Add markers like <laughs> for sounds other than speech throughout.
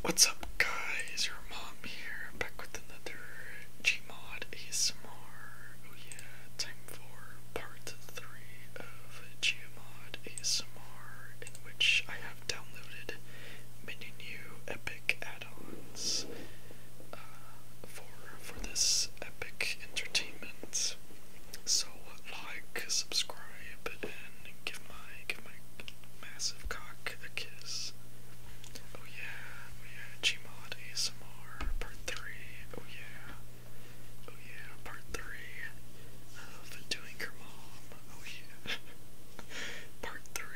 What's up guys, your mom here, back with another Gmod ASMR. Oh yeah, time for part 3 of Gmod ASMR, in which I have downloaded many new epic add-ons uh, for, for this epic entertainment. So like, subscribe, and give my, give my massive cock Take Kiss. Oh yeah, oh yeah, Gmod ASMR Part 3. Oh yeah, oh yeah, Part 3 of Doing Your Mom. Oh yeah. <laughs> part 3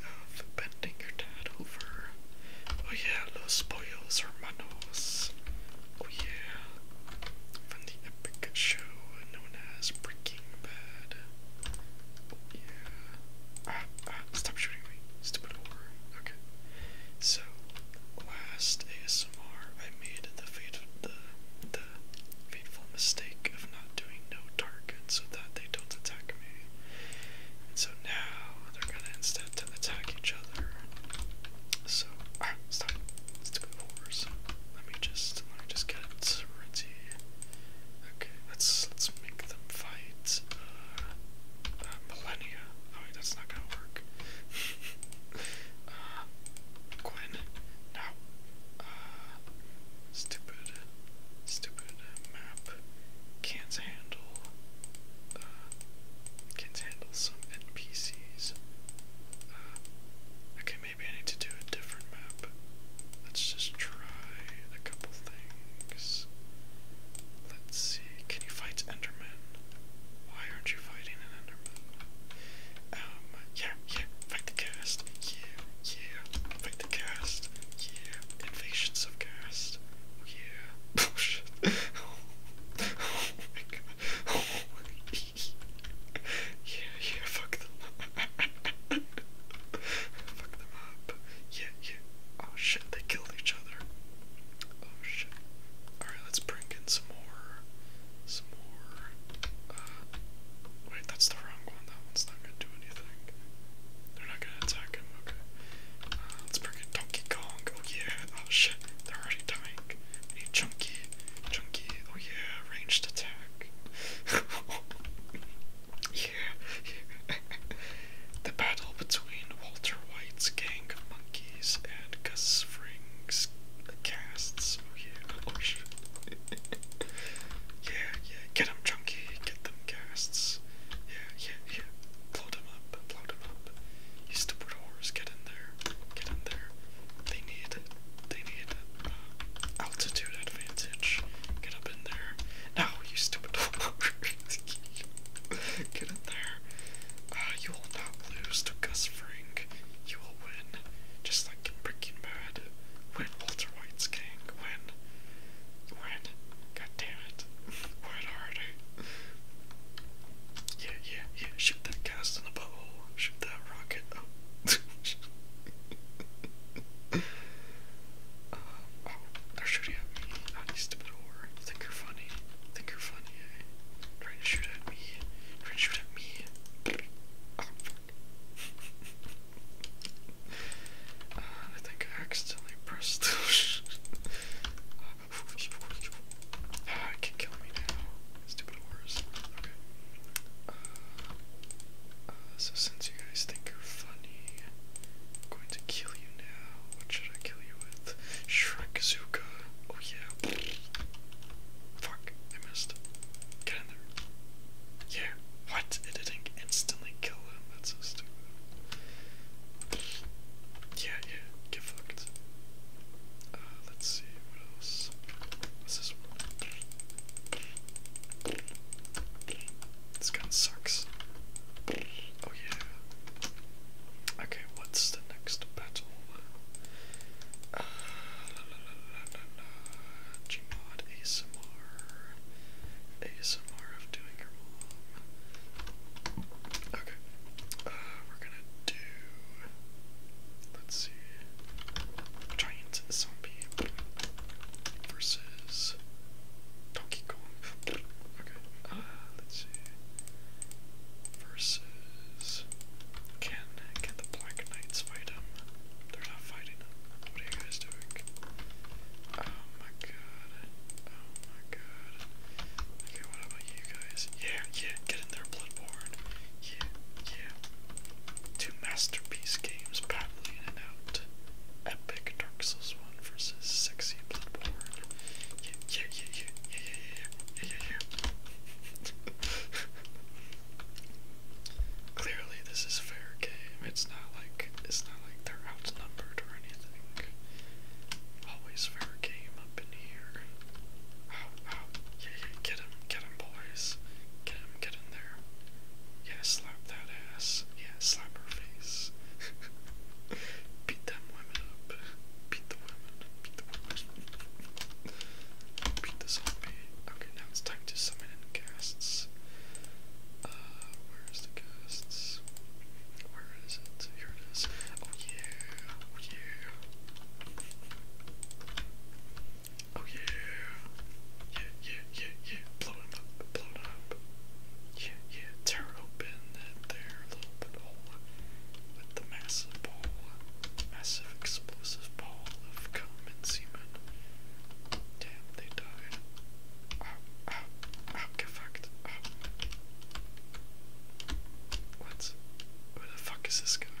of Bending Your Dad Over. Oh yeah, Los Pollos Hermanos. Oh yeah. From the epic show known as Breaking Stop shooting me! Ah, ah, stop shooting me. Okay. So, last ASMR, I made the fate the the fateful mistake of not doing no target so that they don't attack me. And so now they're gonna instead to attack each other. So ah, stop. Stupid horrors. Let me just let me just get ritzy. Okay, let's let's make them fight. Uh, uh millennia. Oh that's not gonna work. <laughs> Uh, Gwen. No. Uh, stupid, stupid map. Can't handle. can't handle some NPCs. Uh, okay, maybe I need to do a different map. Let's just try a couple things. Let's see. Can you fight Enderman? Why aren't you fighting an Enderman? Um, yeah, yeah, fight the cast. Yeah, yeah, fight the cast. Yeah, invasions of cast. yeah. <laughs> Oh, shit. <laughs> Oh, <laughs> oh yeah, yeah, fuck them. Fuck them up. Yeah, yeah. Oh shit, they killed each other. Oh shit. Alright, let's bring in some more. Some more. Uh, wait, that's the wrong one. That one's not gonna do anything. They're not gonna attack him, okay. Uh, let's bring in Donkey Kong. Oh yeah, oh shit, they're already dying. need Chunky. Chunky, oh yeah, ranged attack. <laughs> Yeah. <laughs> the battle between Walter White's gang of monkeys and Gus Fring's casts. Oh yeah. <laughs> yeah, yeah. Get them chunky. Get them casts. Yeah, yeah, yeah. Blow them up. Blow them up. You stupid horse. Get in there. Get in there. They need. They need uh, altitude advantage. Get up in there. No, you stupid <laughs> Get in there. Uh, you will not lose to Gus Fring. You will win. Just like in Breaking Bad. Win Walter White's gang. Win. Win. God damn it. <laughs> Win harder. Yeah, yeah, yeah. Shoot that cast in the butthole. Shoot that rocket. Oh. <laughs> Uh, oh, they're shooting at me. I need stupid whore. Think you're funny. Think you're funny, eh? Trying to shoot at me. Trying to shoot at me. Oh, fuck. uh, I think I accidentally pressed those. uh, <laughs> ah, it can kill me now. Stupid whores. Okay. Uh, uh, so since you guys think you're I'm going to kill you now. What should I kill you with? Shrek Shrekazuka. Oh yeah. Fuck, I missed. Get in there. Yeah. What? It didn't instantly kill him. That's so stupid. Yeah, yeah. Get fucked. Uh, let's see. What else? What's this one? This kind sucks. Oh yeah. Okay, what's the next battle? Uh, la, Gmod ASMR. ASMR of doing your mom. Okay. Uh, we're gonna do. Let's see. Giant zombie versus Donkey Kong. Okay, uh, let's see. Versus. Can, can the Black Knights fight him? They're not fighting him. What are you guys doing? Oh my god. Oh my god. Okay, what about you guys? Yeah, yeah, get in there, Bloodborne. Yeah, yeah. Two masterpiece games leaving it out. Epic Dark Souls 1 versus Sexy Bloodborne. Yeah, yeah, yeah, yeah, yeah, yeah, yeah, yeah, yeah, <laughs> Clearly, this is fair game. It's not like it's not like they're outnumbered or anything. Always fair game up in here. Oh, oh, yeah, yeah, get him, get him, boys. Get him, get in there. Yeah, slap that ass. Slam her face. <laughs> Beat them women up. Beat the women. Beat the women. Beat the zombie. Okay, now it's time to summon in casts. Uh, where is the casts? Where is it? Here it is. Oh yeah. Oh yeah. Oh yeah. Yeah, yeah, yeah, yeah, blow it up, blow it up. Yeah, yeah, tear open that there little hole with the massive ball, massive explosive ball of cum and semen. Damn, they died. Ow, ow, ow, get fucked. What? Where the fuck is this going? <laughs>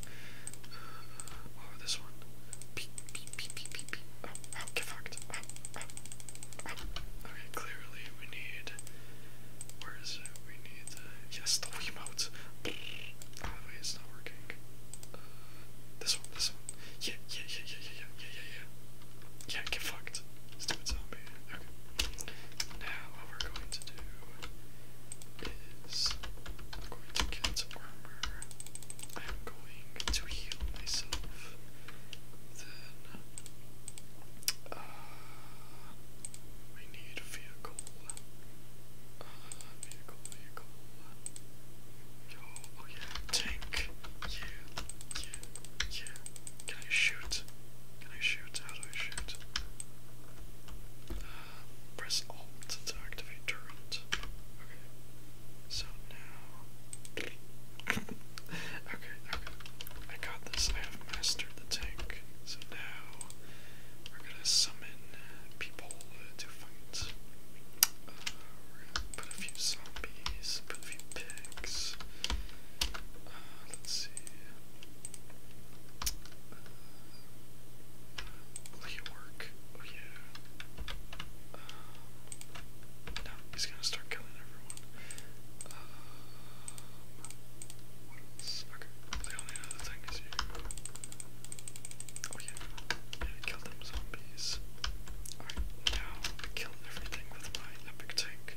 What oh, about this one? Beep, beep, beep, beep, beep, beep. Oh, oh, get fucked. Oh, oh, oh. Okay, clearly we need. Where is it? We need the. Yes, the Wiimote. Oh, wait, it's not working. Uh, this one, this one. Yeah, yeah, yeah, yeah, yeah, yeah, yeah, yeah. Yeah, get fucked. Stupid zombie. Okay. Now, what we're going to do is I'm going to get some I'm going to heal myself. Then we uh, need a vehicle. Uh, vehicle, vehicle. oh yeah, tank. Yeah, yeah, yeah. Can I shoot? Can I shoot? How do I shoot? Press Alt to activate Torrent. Okay. So now. <coughs> okay, I got this. I have mastered the tank. So now we're gonna summon people to fight. Uh, put a few zombies, put a few pigs. Uh, let's see. Will he work? Oh yeah. Um, he's gonna start killing everyone. Um, what else? Okay, the only other thing is you. Oh yeah, yeah, kill them zombies. Alright, now I kill everything with my epic tank.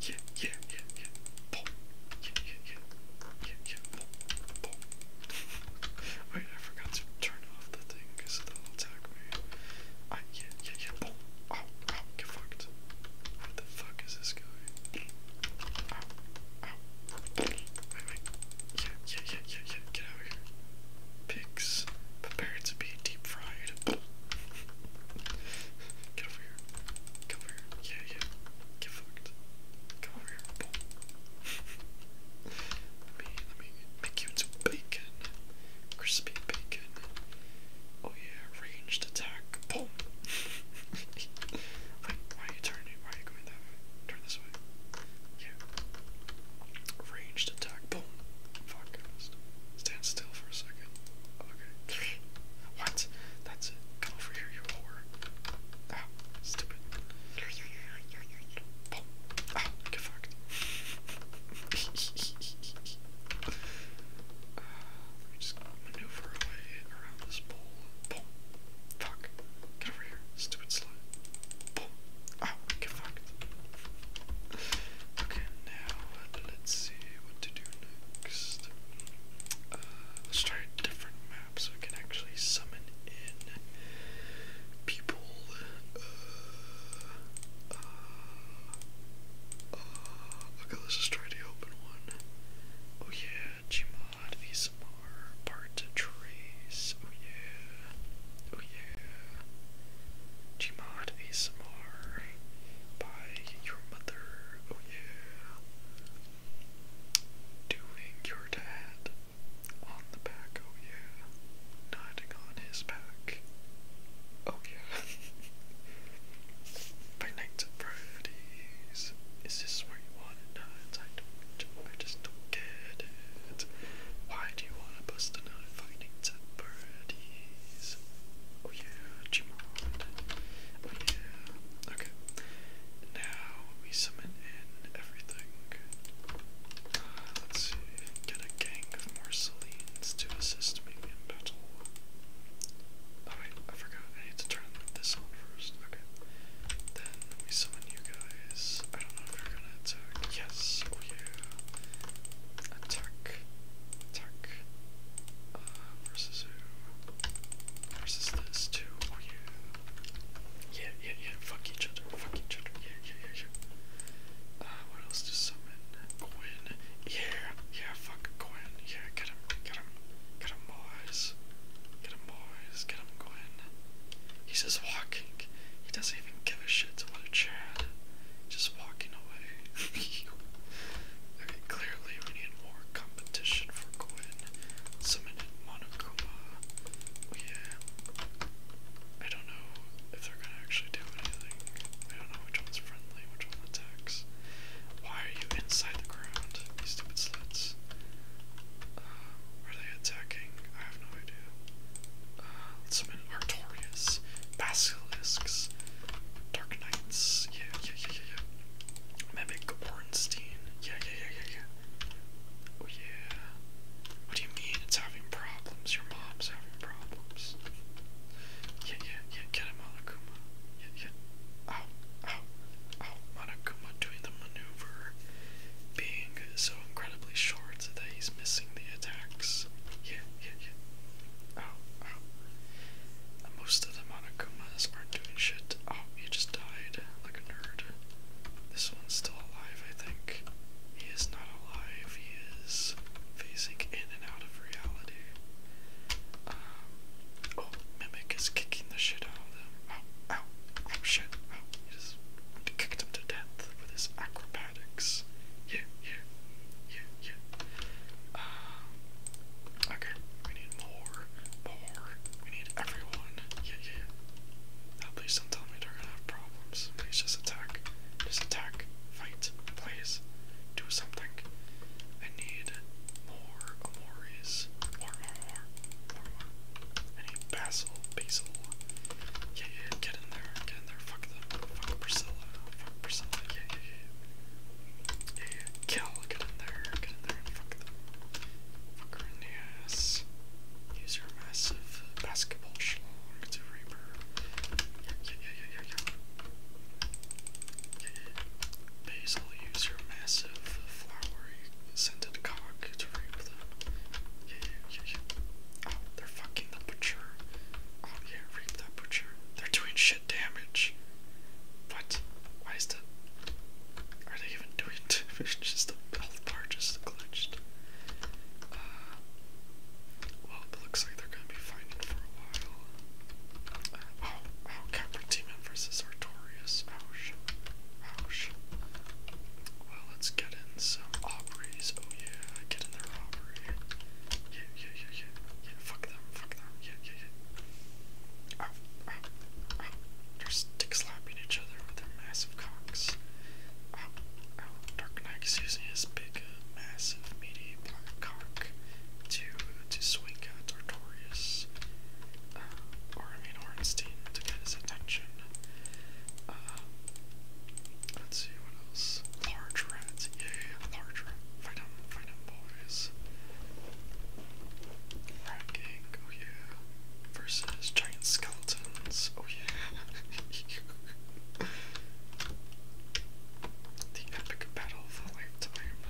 <laughs> yeah, yeah, yeah, yeah, boom. Yeah, yeah, yeah, yeah, yeah, Wait, I forgot to turn off the thing because it'll attack me. I, yeah, yeah, yeah, boom. Ow, ow, get fucked. What the fuck is this guy? Ow, ow. Wait, Yeah, yeah, yeah, yeah, yeah, get out here. Pigs, prepare to be deep fried. Get over here. Come over here. Yeah, yeah. Get fucked. Come over here. <laughs> me let me make you into bacon. Crispy bacon. Oh yeah, ranged attack. Boom. <laughs> why are you turning? Why are you going that way? Turn this way. Yeah. Ranged attack. Boom. Fuck. Stand still for a second. Okay. What? That's it. Come over here, you whore. Ah, stupid. Ah, get fucked. uh, <laughs> let just maneuver around this bowl. Fuck. Get over here, stupid slut. Boom. Ah, get fucked. Okay, now let's see what to do next. Uh, Let's try a different map so I can actually summon in people. Uh, uh, okay, let's just try the open one. Oh yeah, Gmod, ASMR, Part to Trace. Oh yeah. Oh yeah. Gmod ASMR by your mother. Oh yeah. Doing your dad. On the back, oh yeah. Nodding on his back. Oh yeah. <laughs> By nights Is this where you want it nuts? I don't I just don't get it. Why do you wanna bust a nut fighting at Oh yeah, Oh, okay. Now we summon in everything. Uh, let's Get a gang of Marcelines to assist me in battle. Oh wait, I forgot. I need to turn this on first. Okay. Then we summon you guys. I don't know if you're gonna attack. Yes. Oh yeah. Attack. Attack. Uh, versus who? versus this too. yeah. Yeah, yeah, Fuck each other. Fuck each other. Yeah, yeah, yeah, uh, what else to summon? Quinn. Yeah, yeah. Fuck Quinn. Yeah, get him. Get him. Get him, boys. Get him, boys. Get him, Quinn. He's just walking. He doesn't even give a shit to what a Chad. Just walking away. <laughs> clearly we need more competition for Gwen. Summoned Monokuma. Yeah. I don't know if they're gonna actually do anything. I don't know which one's friendly, which one attacks. Why are you inside the ground? You stupid slits. Uh, are they attacking? I have no idea. Uh, summon Artorias, Basilisks, Dark Knights. Yeah, yeah, yeah, yeah, yeah. Mimic Ornstein. Yeah, yeah, yeah, yeah, yeah. Oh, yeah. What do you mean it's having problems? Your mom's having problems. Yeah, yeah, yeah, get him, Monokuma. Yeah, yeah. Ow, ow, ow. Monokuma doing the maneuver, being so incredibly short that he's missing the attacks. Yeah, yeah, yeah. Ow, ow. And most of them monokumas are doing shit. Oh, he just died like a nerd. This one's still alive, I think. He is not alive, he is phasing in and out of reality. Um, oh, Mimic is kicking the shit out of them. Ow, oh, ow, oh shit, Oh, He just kicked him to death with his acrobatics. Yeah, yeah, yeah, yeah. Um, okay, we need more, more, we need everyone. Yeah, yeah, yeah. Now please don't tell me they're gonna have problems. Please just attack. Just attack. Fight. Please. Do something. I need more Amoris. More, more, more. More, more. I need Basil. Basil. Yeah, yeah, get in there. Get in there. Fuck them. Fuck Priscilla. Fuck Priscilla. yeah, yeah. Yeah, Kill, get in there, get in there, fuck the ass. Use your massive basketball schlong to rape her. Yeah, yeah, yeah, yeah, Basil, use your massive flowery scented cock to rape them. yeah, yeah, yeah. Oh, they're fucking the butcher. Oh yeah, rape that butcher. They're doing shit damage. What? Why is the are they even doing <laughs> it? It's the health bar just glitched. Uh, well, it looks like they're gonna be fighting for a while. Uh, oh, oh, Capra Demon versus Artorias. Ouch. Ouch. Well, let's get in some Aubrey's. Oh yeah, get in there, Aubrey. yeah, yeah, yeah. Yeah, fuck them, fuck them. Yeah, yeah, yeah. They're stick slapping each other with their massive cocks. Dark Knight is using his big, uh, massive, meaty black cock to to swing at Artorias, uh, or I mean Orenstein, to get his attention. Uh, let's see what else. Large rats, yeah, large rat. Fight him, fight him, boys. Ranking, oh yeah. Versus giant skeletons, oh yeah. <laughs> the epic battle of a lifetime.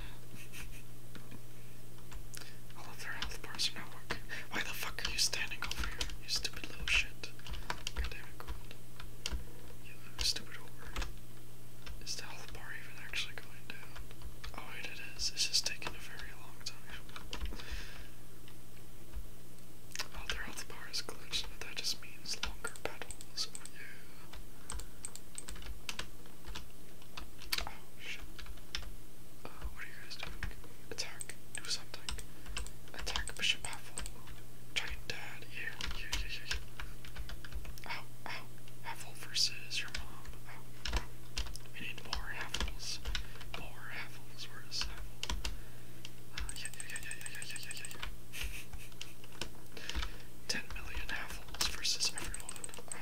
All of their health bars are not working. Why the fuck are you standing over here, you stupid little shit? God damn it, gold. You stupid over. Is the health bar even actually going down? Oh, it it is. It's just taking a very long time. Oh, their health bar is glitched, but that just means longer battles. Oh, oh, uh, what are you guys doing? Attack. Do something. Attack Bishop Pavel. Giant Dad. Yeah, yeah, yeah, yeah. yeah. Ow, ow. Pavel versus your mom. We need more apples. More apples. Where is apple? Uh, yeah, yeah, yeah, yeah, yeah, yeah, yeah, yeah. Ten million apples versus everyone. Uh,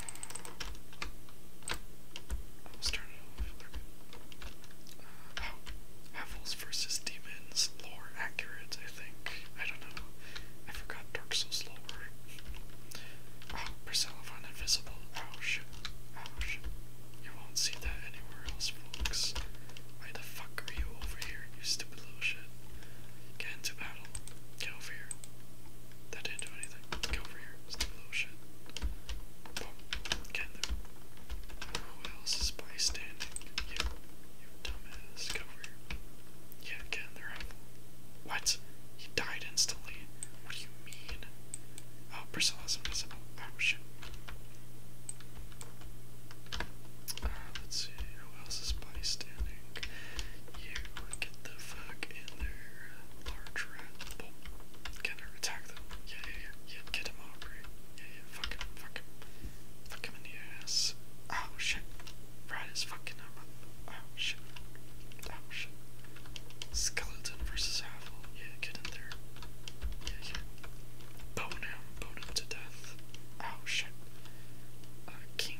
I'll it off. Uh, versus demons. Lore accurate, I think. I don't know. I forgot Dark Souls lore. Oh, Persephone invisible. Oh shit! Oh shit! You won't see that anywhere else, folks. Why the fuck are you over here, you stupid little shit? Get into battle. Get over here. That didn't do anything. Get over here, stupid little shit. Get there. Who else is bystanding? You. You dumbass. Get here. Yeah, get there, What? He died instantly. What are you Oh, Priscilla's invisible. Oh, shit. let's see, who else is bystanding? You get the fuck in there, large rat. Oh, can I attack them? Yeah, yeah, get him, Aubrey. Yeah, yeah, fuck him, fuck him. Fuck him in the ass. Oh, shit. Right his fucking arm up. Oh, shit. Oh, shit. Skeleton versus Havel. Yeah, get in there. Yeah, yeah. Bone him, bone him to death. Oh shit.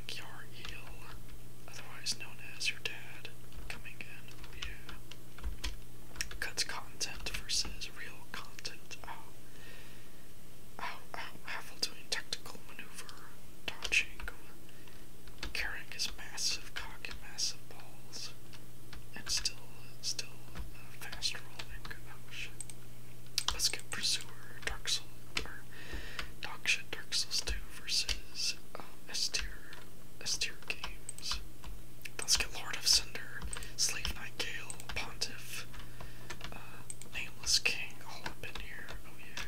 Eel, otherwise known as your dad, coming in. Oh, yeah. Cuts content versus real content. Oh. Ow, oh, ow, oh. Havel doing tactical maneuver, dodging, carrying his massive cock fucking massive balls and still, still uh, fast rolling. Oh Let's get Pursuer, Dark Souls, or Dark Souls 2 versus um, S tier, games. Let's get Lord of Cinder, Slave Knight Gale, Pontiff, uh, Nameless King all up in here. Oh yeah.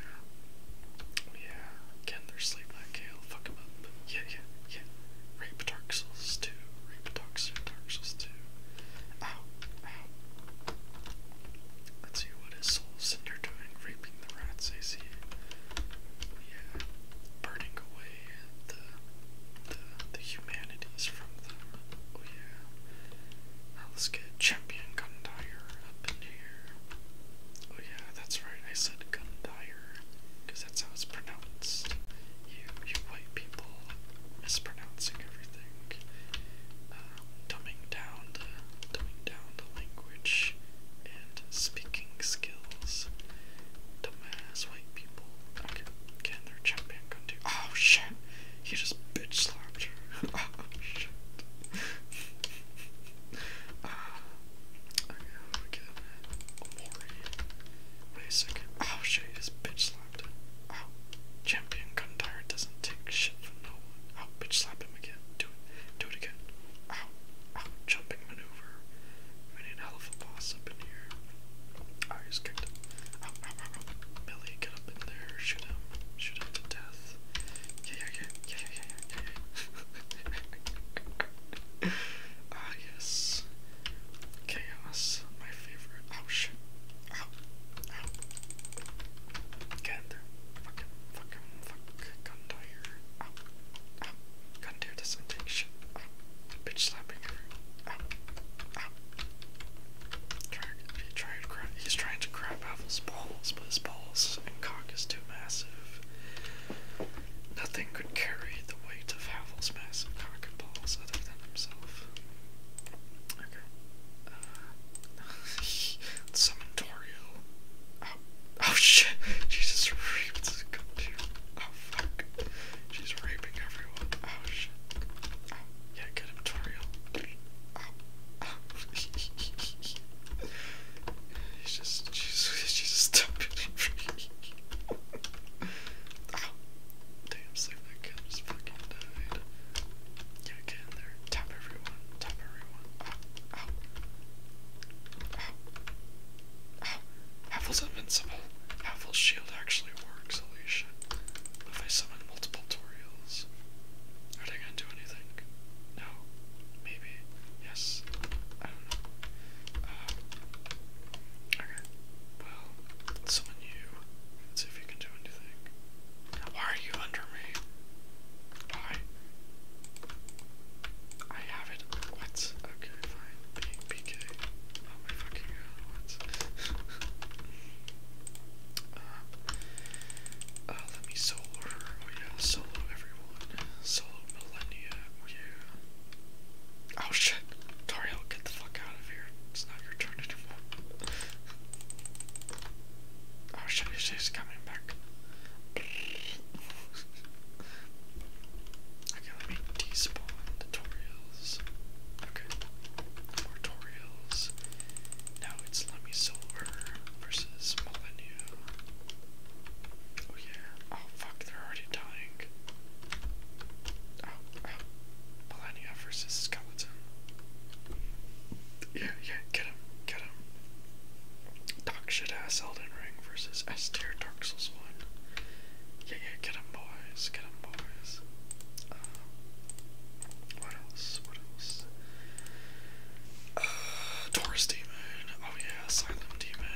Oh yeah. Again, Slave Knight Gale fuck him up. Yeah, yeah, yeah. Rape Dark Souls 2. Rape Dark Souls 2. Ow, ow. Let's see what is Soul Cinder doing, raping the rats, I see. Yeah, burning away the, the, the humanities from them. Oh yeah. Now let's get Champion Gundire up in here. Oh yeah, that's right, I said Gundire because that's how it's pronounced. You, you white people mispronouncing everything, um, dumbing down the dumbing down the language and speaking skills. Dumbass white people. Okay, can their jump back gun do? Oh shit! He just bitch slapped her. <laughs> oh shit. <laughs> Ah. Wait a second. Oh shit, he just bitch slapped him. Oh, Champion Gundire doesn't take shit from no one. Oh, bitch slap him again. Do it. Do it again. Ow. Oh, ow. Oh, jumping maneuver. We need hell of a boss up in here. I oh, just kicked him. Ow, ow, ow, ow. Billy, get up in there. Shoot him. Shoot him to death. yeah, yeah. Yeah, yeah, yeah, yeah, yeah. <laughs> <laughs> ah, yes. Chaos, my favorite. Oh, shit. Ow. Ow. Get in there. Fucking, fuck. Gun tire. Ow. Ow. Gun tire doesn't Bitch slapping her. Ow. Ow. Try, he to grab, he's trying to grab Apple's balls, but his balls and cock is too massive. Nothing could carry the weight of Havel's massive cock and balls other than himself. Okay. Uh, <laughs> summon Toriel. Oh, oh shit! Jesus raped this computer. Oh fuck. She's raping everyone. Oh shit. Oh, yeah, get him, Toriel. Oh, oh. <laughs> He's just, she's, just stupid oh, damn, so that kid just fucking died. Yeah, get in there. Tap everyone. Tap everyone. Ow. Ow. Ow. Ow. Havel's invincible. Havel's shield actually works, Alicia. If I summon multiple Toriels, are they gonna do anything? No. Maybe. Yes. I don't know. Uh, okay. Well, summon you. Let's see if you can do anything. Are you under me? Why? I have it. What? Okay, fine. B Oh my fucking god, <laughs> uh, uh, let me solo Oh yeah, solo everyone. Solo millennia. Oh yeah. Oh shit. Toriel, get the fuck out of here. It's not your turn anymore. oh shit, she's coming back. okay, let me despawn the Toriels. Okay. More Toriels. Now it's Lemmy Silver versus Molyneux. Oh yeah. Oh fuck, they're already dying. Oh, oh. Melania versus Skeleton. Yeah, yeah, get him, get him. Dog shit ass Elden Ring versus S Dark Souls 1. Yeah, yeah, get him, boys, get him, boys. Um, what else? What else? Uh, Taurus Demon. Oh, yeah, Asylum Demon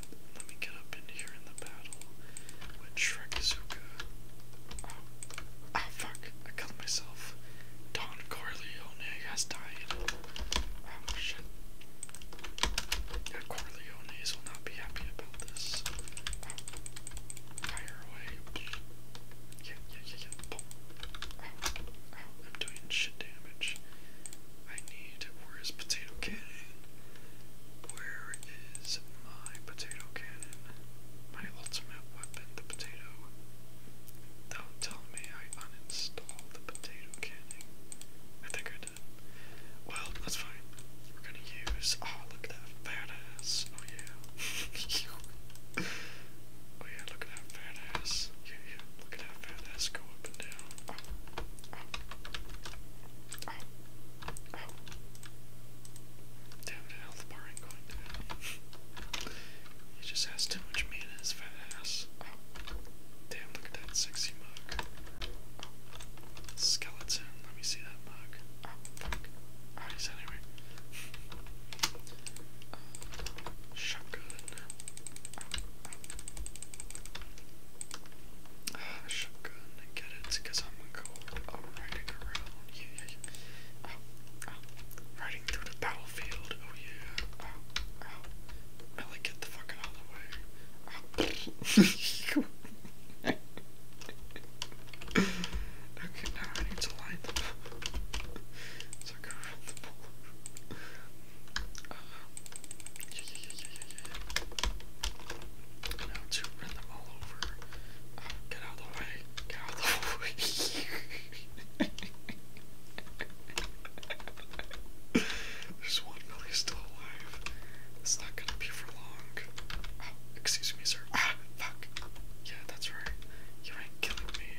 bit. Let me get up in here in the battle with oh, Shrekazuka. Oh. fuck. I killed myself. Don Corleone has died. Oh, shit. Yeah, Corleones will not be happy about this. Fire away. Yeah, yeah, yeah, yeah. Oh, oh, I'm doing shit damage. I need, where is potato canning? Where is my potato cannon? My ultimate weapon, the potato. Don't tell me I uninstalled the potato cannon. I think I did. Well, that's fine. We're gonna use. Oh, look at that fat ass. Oh, yeah. <laughs> oh, yeah, look at that fat ass. Yeah, yeah, look at that fat ass go up and down. Damn the health bar ain't going down. he just has too much meat in fat ass. Damn, look at that sexy mug. Skeleton, let me see that mug. Oh, anyway. Uh, <laughs> Ah, shotgun, I get it, because I'm gonna around. Yeah, Riding through the battlefield. Oh, yeah. Oh, get the fuck out of the way. <laughs> Okay, now I need to line them around <laughs> Uh, yeah, yeah, yeah, Now to run them all over. get out of the way. Get out of the <laughs> way. There's one really still alive. It's not gonna be for long. Oh, excuse me, sir. Ah, fuck. Yeah, that's right. You ain't killing me.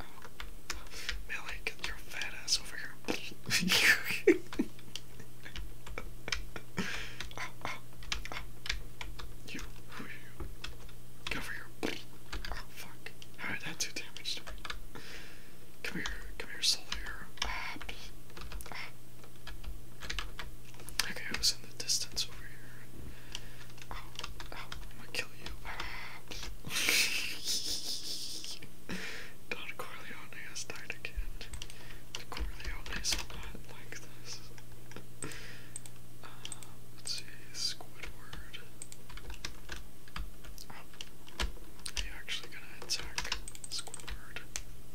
Oh, get your fat ass over here. <laughs> You, who are you? Oh, fuck. How did that do damage to me? Come here, come here, soul Okay, I was in the distance over here. Ow, ow, I'm gonna kill you. <laughs> Don Corleone Corleone has died again. The Corleone is not like this. Uh, let's see, Squidward. are oh, you actually gonna attack Squidward?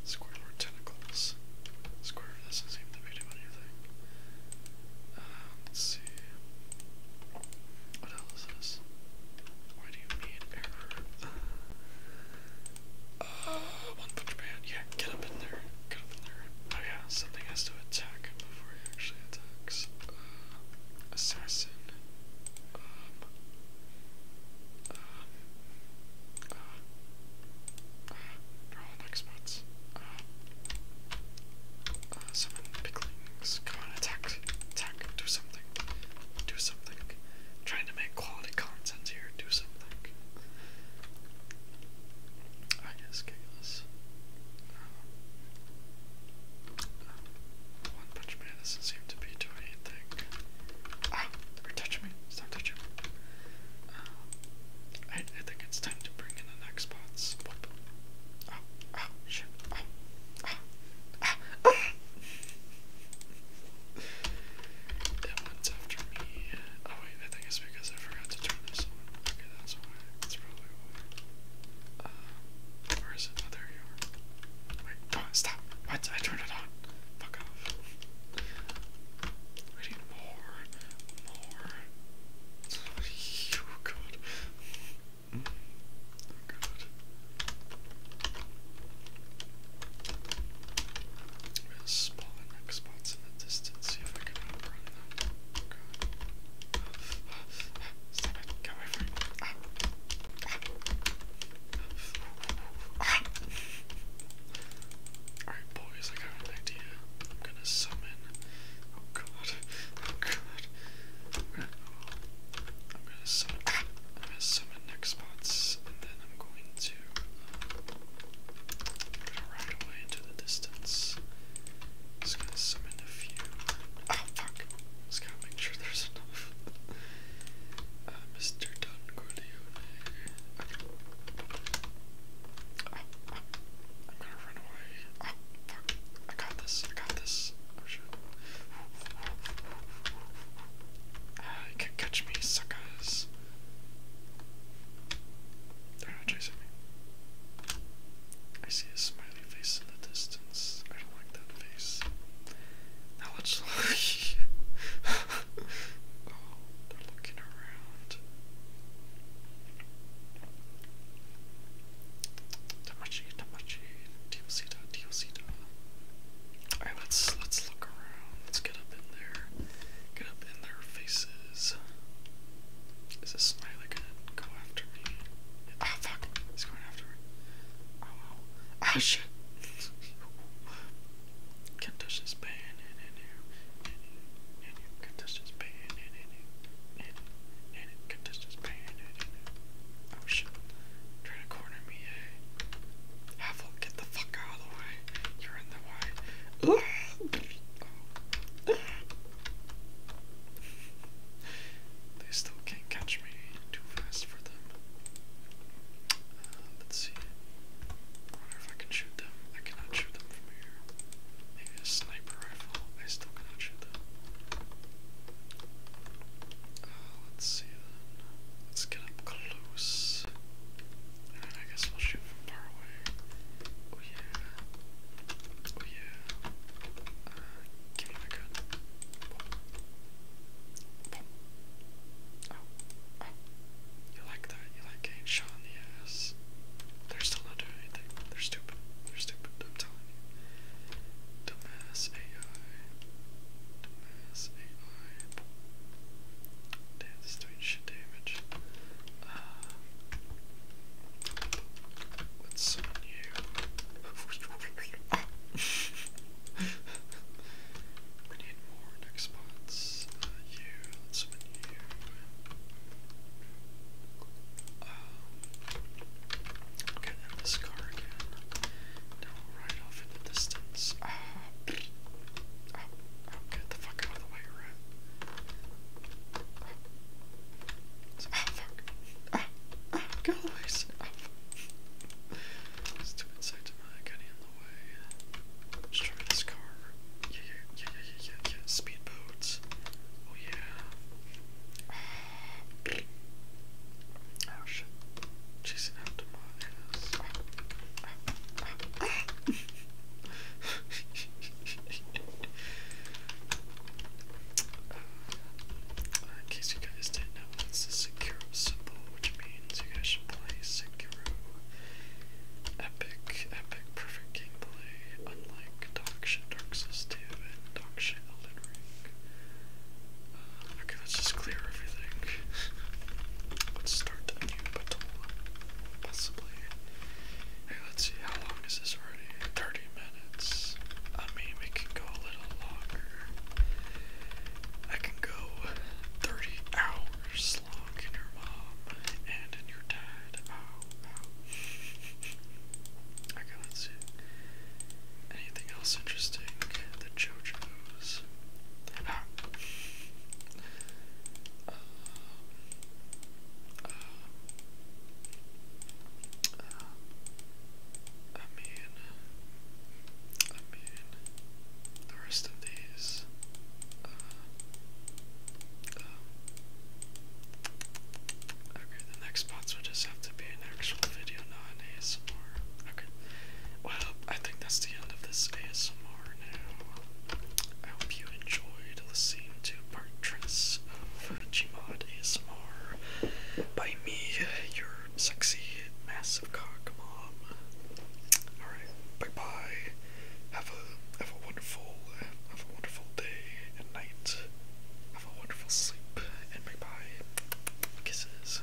Squidward tentacles. Squidward doesn't seem to be doing anything. Uh, let's see. What else is this? Why do you need error? One Punch Man. Yeah, get up in there. Get up in there. Oh yeah, something has to attack him before he actually attacks. Uh, assassin. Um. Uh, uh, next spots. Uh. picklings. Come on, attack. Attack do something, do something. i trying to make quality content here, do something. I guess kick uh, one Punch Man doesn't seem to be doing anything. Ah, are you touching me? Stop touching me. Uh, I, I think it's time to bring in the next bots. Whoop. Oh, oh, shit. Oh, ah, ah, ah. ah that one's after me. Oh wait, I think it's because I forgot to turn this on. Okay, that's why. That's probably why. Uh, where is it? Oh, there you are. Wait, stop. What? I turned it on. Fuck off. I need more. More. Oh, God. Mm. We'll spawn next spots in the distance, see if I can outrun them. Okay. Stop get away from me. Alright, boys, I got an idea. I'm gonna summon. Oh god. Oh god. I'm gonna, summon. I'm gonna summon my spots, and then I'm going to um, away into the distance. Just gonna summon a few. Oh fuck! Just gotta make sure there's <laughs> enough. Mr. Don Corleone. I'm gonna run away. Oh fuck! I got this! I got this! Oh, pressure. Uh, can't catch me, suckers. They're not chasing me. I see a smiley face in the distance. I don't like that face. Now let's <laughs> look. oh, they're looking around. Tamachi, Tamachi, Diosita, Diosita. All right, let's let's look around. Let's get up in there. Get up in their faces. Is this Smiley gonna go after me? oh, fuck! He's going after me. Oh, ah, shit! can this band and in this band and in this band and Oh, shit. Trying to corner me, eh? Havel, get the fuck out of the way. You're in the way. they still can't catch me too fast for them. Uh, let's see. wonder if I can shoot them. I cannot shoot them from here. Maybe a sniper rifle. I still cannot shoot them. Uh, let's see. Let's get up close. I guess we'll shoot from far away. Oh yeah. Oh yeah. Uh, give me my gun. Boom. Oh. Oh. You like that? You like getting shot in the ass? They're still not doing anything. They're stupid. They're stupid. I'm telling you. Dumbass AI minus 8, doing shit damage. let's summon you. we need more next spots. Uh, let's summon you. Um, okay, and this car again right off in the distance. Ah. Oh, oh, get the fuck out of the way, rat. Oh. Ah, fuck. Ah, ah, get out of the way. Ah, fuck. to my getting in the way. Just try this car. Yeah, yeah, yeah, yeah, yeah, Speedboats. Oh, yeah. Ah. Oh shit. Chasing after in case you guys didn't know, it's a Sekiro symbol, which means you guys should play Sekiro. Epic, epic, perfect gameplay, unlike dog shit and dog shit Okay, let's just clear everything. let's start a new battle, possibly. Hey, let's see, how long is this already? 30 minutes. I mean, we can go a little longer. I can go 30 hours long in your mom and in your dad. Oh, ow, ow. <laughs> okay, let see. Anything else interesting? The JoJo's. I mean, I mean, the rest of these. Um, um, okay, the next spots will just have to be an actual video, not Okay, well, I think that's the end of this ASMR now. I hope you enjoyed listening to part tris of Gmod ASMR by me, your sexy, massive cock mom. Alright, bye bye. Have a have a wonderful have a wonderful day and night. Have a wonderful sleep and bye bye. Kisses.